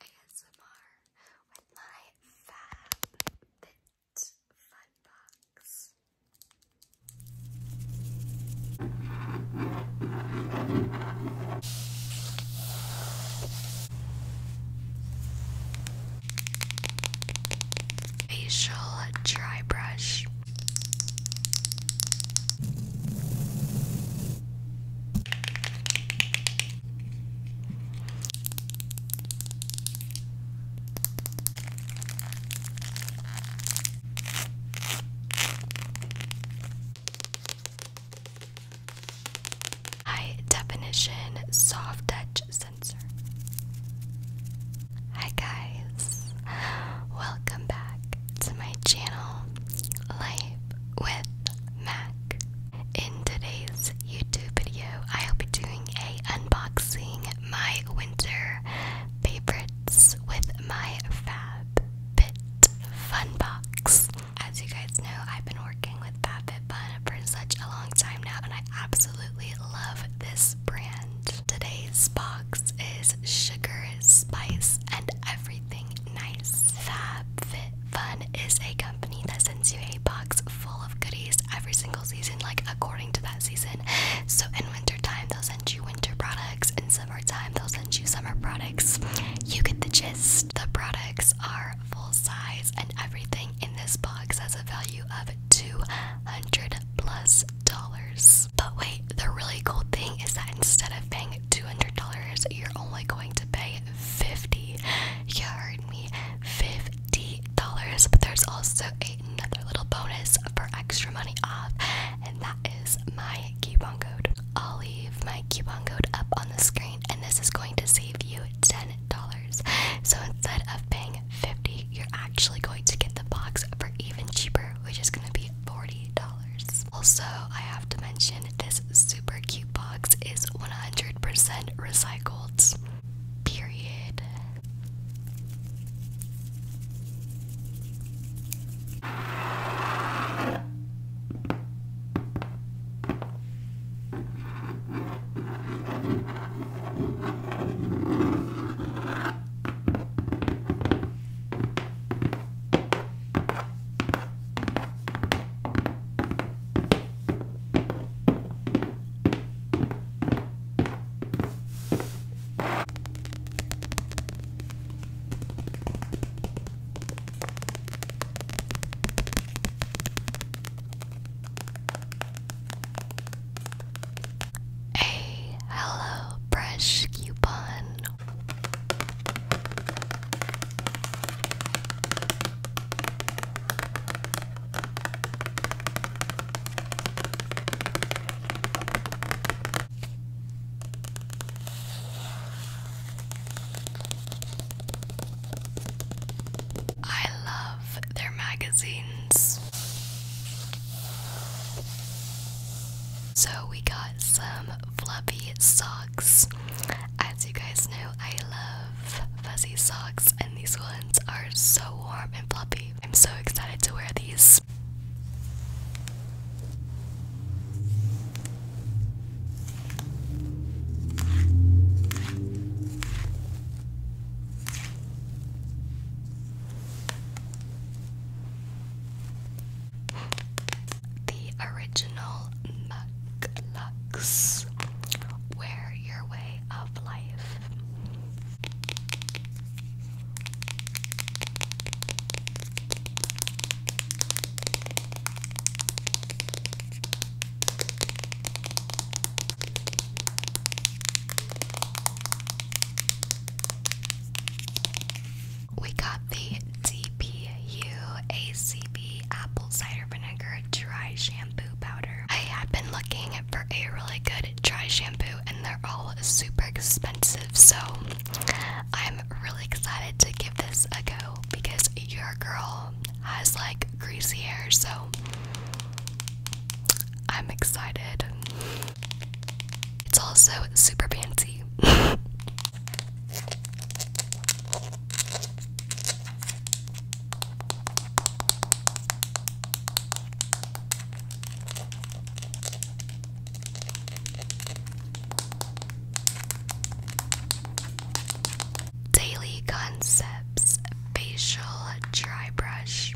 ASMR with my Fab Bit Fun Box. Facial dry brush. High definition soft touch sensor. Hi, guys, welcome back to my channel, Life with Mac. In today's YouTube video, I will be doing a unboxing my winter favorites with my FabFit Fun Box. As you guys know, I've been working with FabFit for such a long time now, and I absolutely love this brand. Today's box is sugar, spice, and everything Nice. Fab Fit Fun is a company that sends you a box full of goodies every single season, like according to that season. So in winter time, they'll send you winter products. In summer time, they'll send you summer products. You get the gist. The products are full size, and everything in this box has a value of two hundred plus dollars. But wait, the really cool thing is that instead of paying $200, you're only going to pay 50 You heard me, $50. But there's also another little bonus for extra money off, and that is my coupon code. I'll leave my coupon code up on the screen, and this is going to save you $10. So instead of paying 50 you're actually going to get the box for even cheaper, which is going to be $40. Also, I have to mention this super cute box is 100% recycled. Period. A Hello brush coupon I love their magazines. So we got some fluffy socks. As you guys know, I love fuzzy socks, and these ones are so warm and fluffy. I'm so excited to wear these. The original McLux. Wear your way of life. We got the DPU ACB Apple Cider Vinegar Dry Shampoo Powder. I have been looking for a really good dry shampoo, and they're all super expensive, so I'm really excited to give this a go because your girl has like greasy hair, so I'm excited. It's also super fancy. Daily Concepts Facial Dry Brush.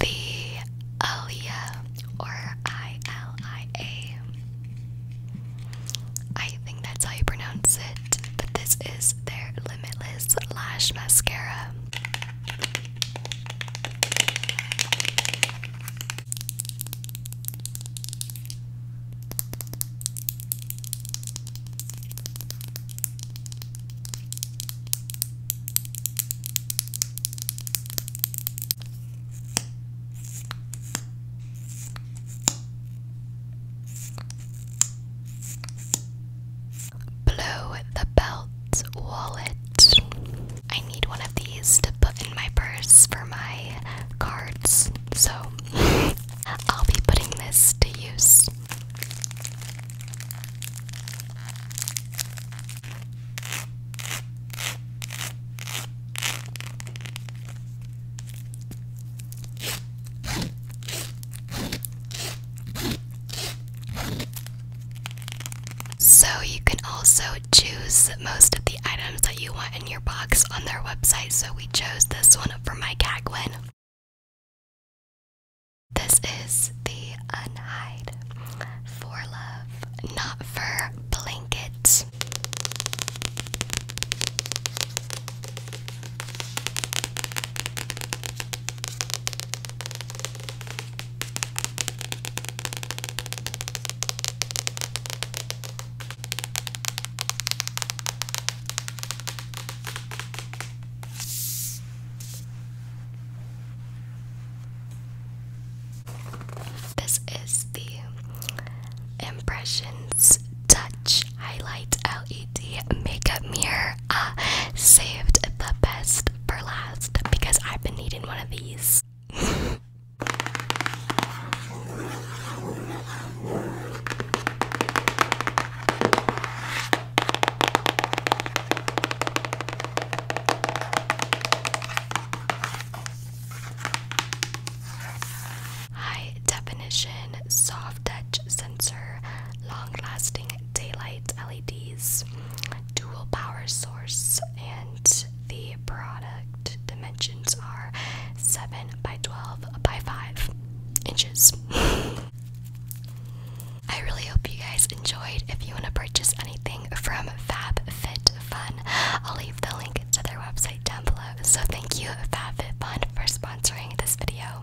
The Alia or I L I A. I think that's how you pronounce it, but this is their Limitless Lash Mascara. Blow the belt wallet. I need one of these to put in my purse for my cards, so I'll be putting this to use. So, you can also choose most of the items that you want in your box on their website. So, we chose this one for my cat This is the Unhide for love, not for blankets. This is the Impressions Touch Highlight LED Makeup Mirror. Uh, saved the best for last because I've been needing one of these. High definition soft touch sensor, long lasting daylight LEDs, dual power source, and the product dimensions are 7 by 12 by 5 inches. I really hope you guys enjoyed. If you want to purchase anything from Fab Fit Fun, I'll leave the link to their website down below. So thank you, Fab Fit Fun, for sponsoring this video.